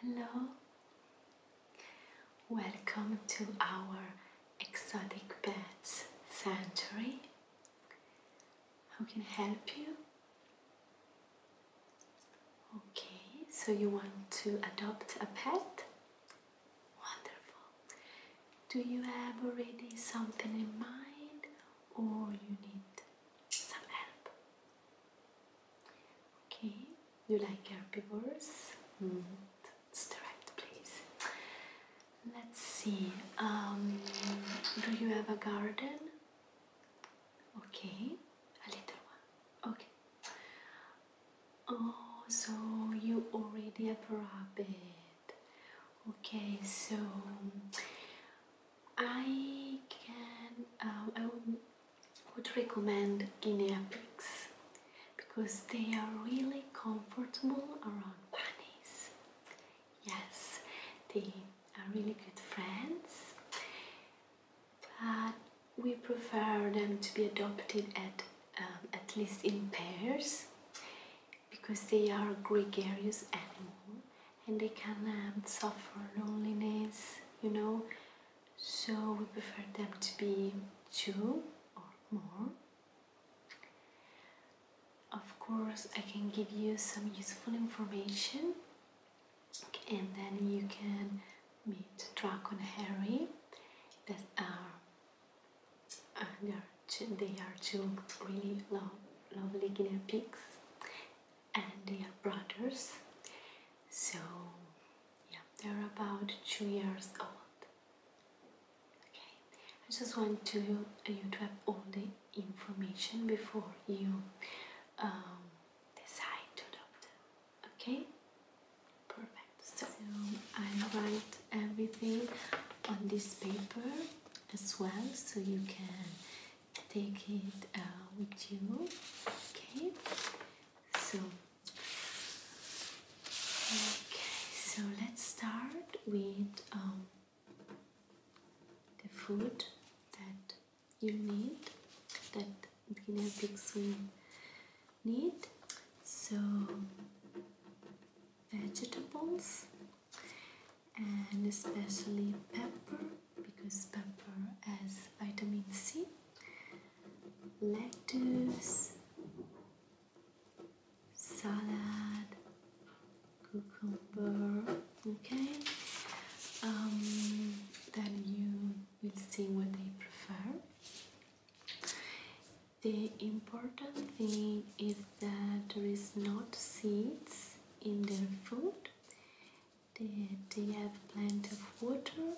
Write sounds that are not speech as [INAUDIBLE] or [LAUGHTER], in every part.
Hello, welcome to our exotic pets sanctuary. How can help you? Okay, so you want to adopt a pet? Wonderful. Do you have already something in mind or you need some help? Okay, you like herbivores? Mm mm-hmm. That's the right place. Let's see, um, do you have a garden? Okay, a little one. Okay. Oh, so you already have a rabbit. Okay, so I can. Um, I will would recommend guinea pigs because they are really comfortable around bunnies. Yes, they are really good friends, but we prefer them to be adopted at um, at least in pairs because they are gregarious animal and they can um, suffer loneliness, you know, so we prefer them to be two or more. Of course, I can give you some useful information and then you can meet Draco and Harry that are uh, they are two, really lovely guinea pigs and they are brothers. So, yeah, they're about two years old. Okay, I just want to uh, you to have all the information before you um, decide to adopt Okay, perfect. So, so I write everything on this paper as well, so you can take it uh, with you. Okay so, okay, so let's start with um, the food that you need, that guinea pigs will need. So, vegetables and especially pepper because pepper has vitamin C. Lettuce, salad, cucumber. Okay, um, then you will see what they prefer. The important thing is that there is not seeds in their food they, they have plenty of water.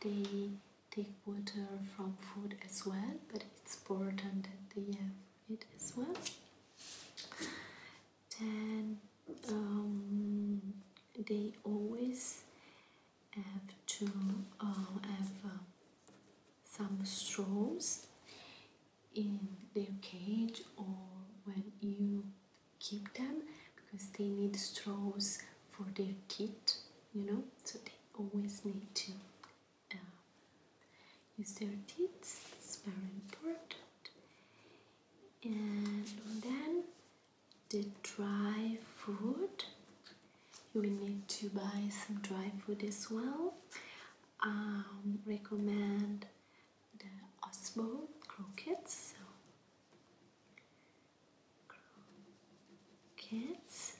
They take water from food as well, but it's important that they have it as well. And um, they always have to uh, have uh, some straws in their cage or when you keep them because they need straws for their teeth, you know, so they always need to uh, use their teeth, it's very important. And then the dry food, you will need to buy some dry food as well. Um, recommend the Osmo croquettes. So kids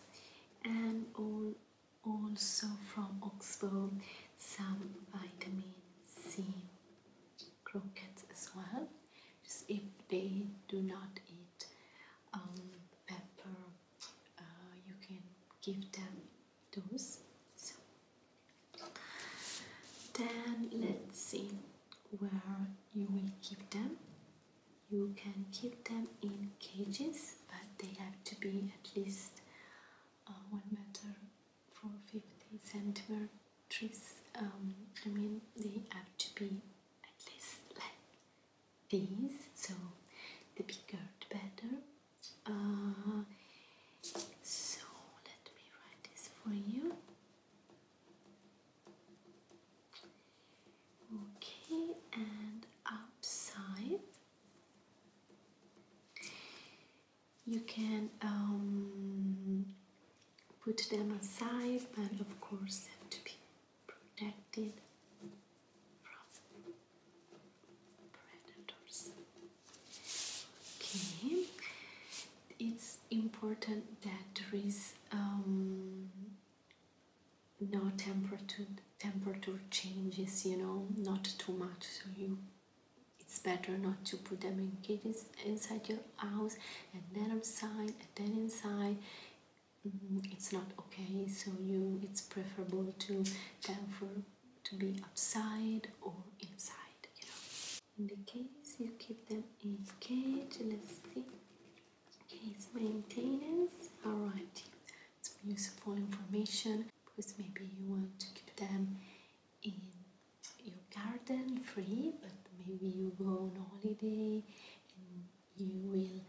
and also from Oxford some vitamin C croquettes as well just if they do not eat um, pepper uh, you can give them those so then let's see where you will keep them. You can keep them in cages, but they have to be at least uh, one meter four fifty centimeters. Um, I mean, they have to be at least like these, so the bigger the better. Uh, so let me write this for you. Okay, and upside, you can um, put them aside, but of course have to be protected from predators. Okay, it's important that there is um, no temperature temperature changes you know not too much so you it's better not to put them in kitties inside your house and then outside and then inside mm, it's not okay so you it's preferable to them for to be outside or inside you know in the case you keep them in cage let's see case maintenance all right it's useful information because maybe you want to keep them in your garden free but maybe you go on holiday and you will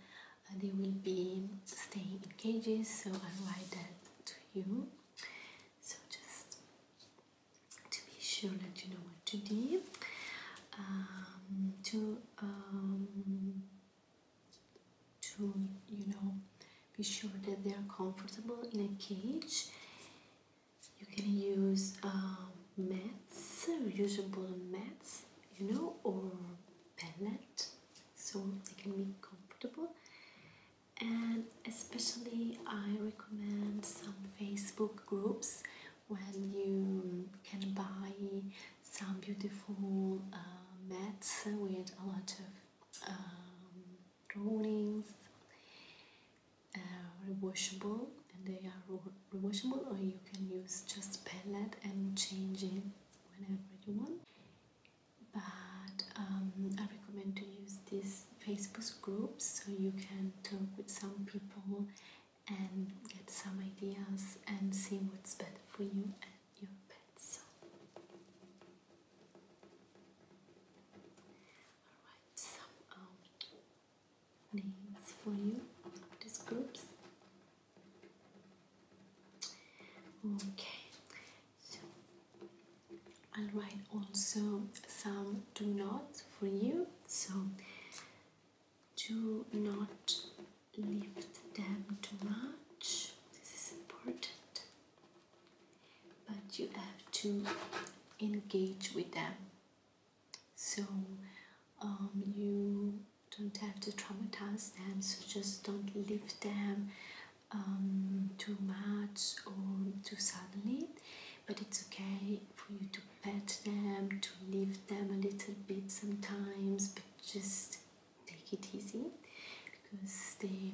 uh, they will be staying in cages so i write that to you so just to be sure that you know what to do um, to um, to you know be sure that they are comfortable in a cage you can use um, mats useable mats you know or pellet so they can be comfortable and especially I recommend some Facebook groups when you can buy some beautiful uh, mats with a lot of um, drawings, uh, rewashable, and they are washable. or you can use just palette and change it whenever you want. But um, I recommend to use these Facebook groups so you can talk with some people and get some ideas and see what's better for you and your pets. Alright, some um, names for you of these groups. Okay, so I'll write also some do nots for you. So do not lift them too much. This is important. But you have to engage with them. So um, you don't have to traumatize them, so just don't lift them um, too much or too suddenly. But it's okay for you to pet them, to leave them a little bit sometimes, but just take it easy because they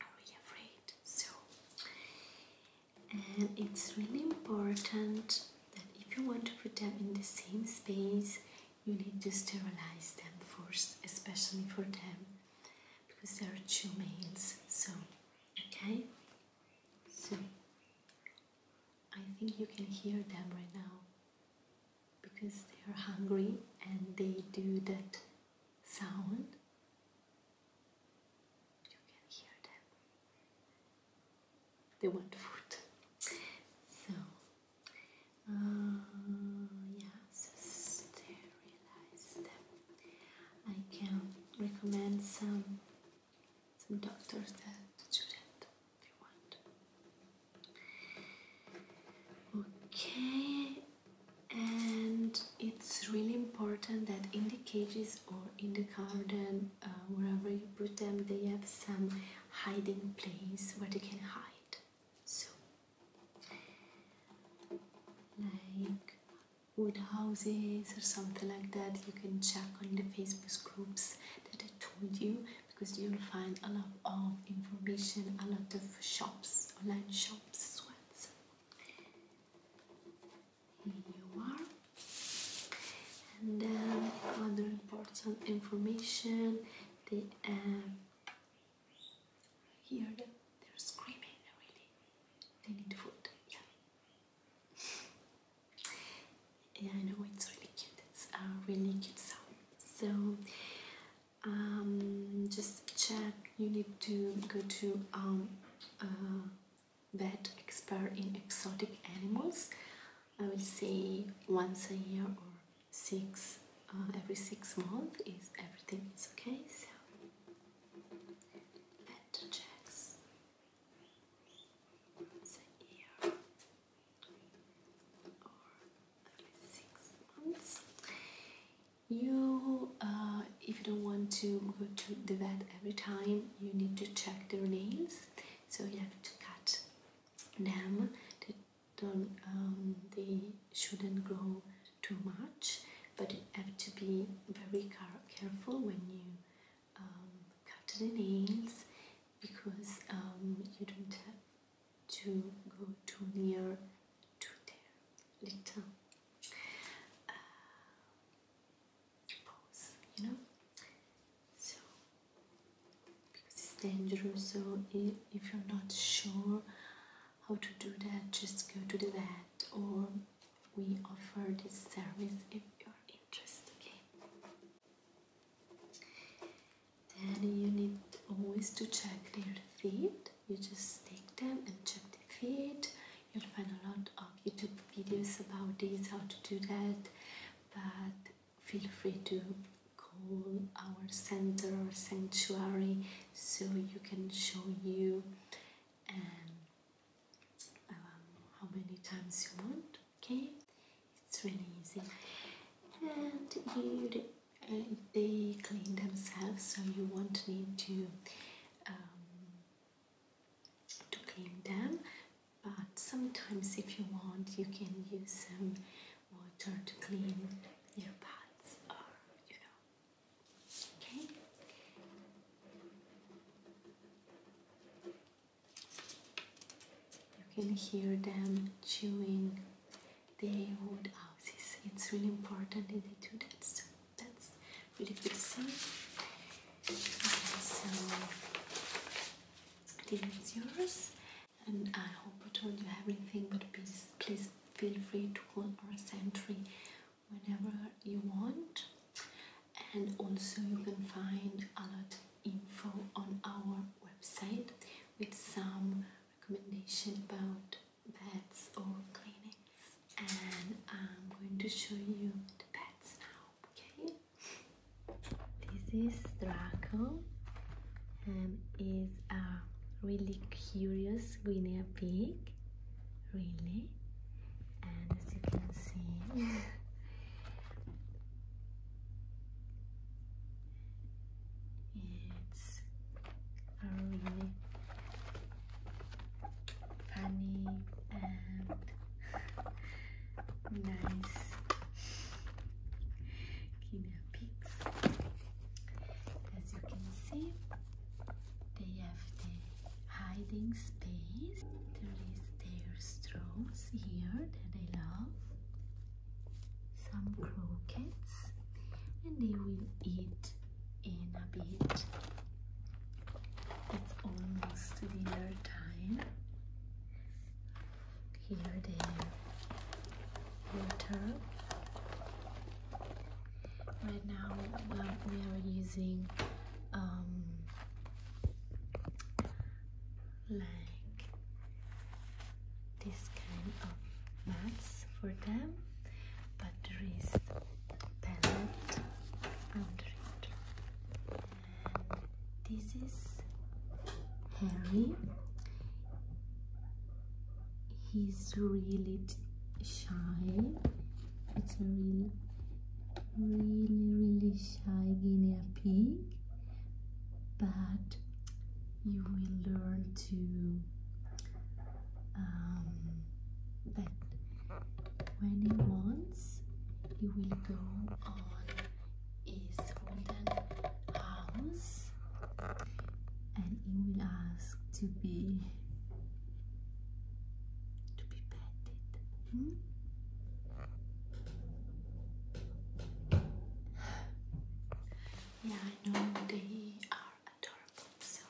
are really afraid. So, and it's really important that if you want to put them in the same space, you need to sterilize them first, especially for them because they are two males. So, okay, so I think you can hear them right now because they are hungry and they do that sound. You can hear them. They want food. So, uh, yeah, sterilize them. I can recommend some some doctors that do that if want. Okay, and it's really important that in the cages or in the garden, uh, wherever you put them, they have some hiding place where they can hide. So, like wood houses or something like that, you can check on the Facebook groups that I told you because you'll find a lot of information, a lot of shops, online shops as well. here you are. And then um, other important information, the um, here they're screaming really. They need food. Yeah. Yeah, I know it's really cute. It's a really cute sound. So um, just check. You need to go to um, uh, vet expert in exotic animals. I will say once a year or six uh, every six months is everything is okay. So vet checks the year or at least six months. You, uh, if you don't want to go to the vet every time, you need to check their nails. So you have to cut them. They don't, um, they shouldn't grow too much, but you have to be very careful when you cut the nails because um, you don't have to go too near to their little uh, you know. So because it's dangerous, so if you're not sure how to do that, just go to the vet or we offer this service if you're interested. Okay. Then you need always to check their feet. You just take them and check the feet. You'll find a lot of YouTube videos about this, how to do that. But feel free to call our center or sanctuary so you can show you um, how many times you want. Okay, it's really easy, and uh, they clean themselves, so you won't need to um, to clean them. But sometimes, if you want, you can use some water to clean your pots. okay. You can hear them chewing the wood houses. It's really important that they do that. So that's really good to see. so this is yours, and I hope I told you everything. But please, please feel free to call our sentry whenever you want and also you can find a lot of info on our website with some recommendation about beds or cleanings. and I'm going to show you the beds now okay this is Draco and um, is a really curious guinea pig really and as you can see [LAUGHS] It's really funny and [LAUGHS] nice guinea pigs. As you can see, they have the hiding space. There is their straws here that I love, some croquettes, and they will eat in a bit. It's almost dinner time. Here the water. Right now we are using um, like this kind of mats for them, but there is pellet under it. this is Harry. He's really shy. It's a real really, really shy guinea pig, but you will learn to um, that when he wants, he will go on his wooden house and he will ask to be to be petted yeah, I know they are adorable, so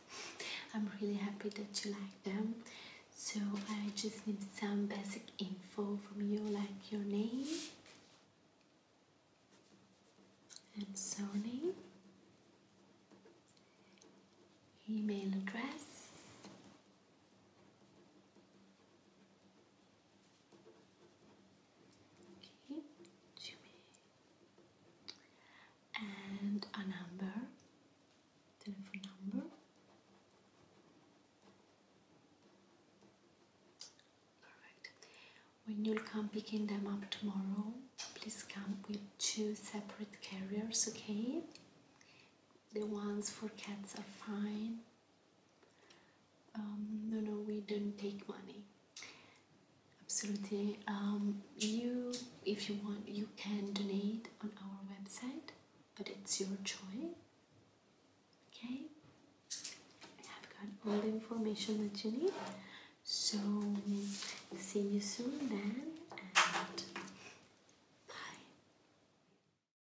I'm really happy that you like them. So I just need some basic info from you, like your name and surname, email address, Okay, Jimmy. And a number, telephone number. Alright. When you'll come picking them up tomorrow, please come with two separate carriers, okay? The ones for cats are fine, um, no, no, we don't take money. Absolutely. Um, you, if you want, you can donate on our website, but it's your choice. Okay. I have got all the information that you need. So, see you soon then, and bye.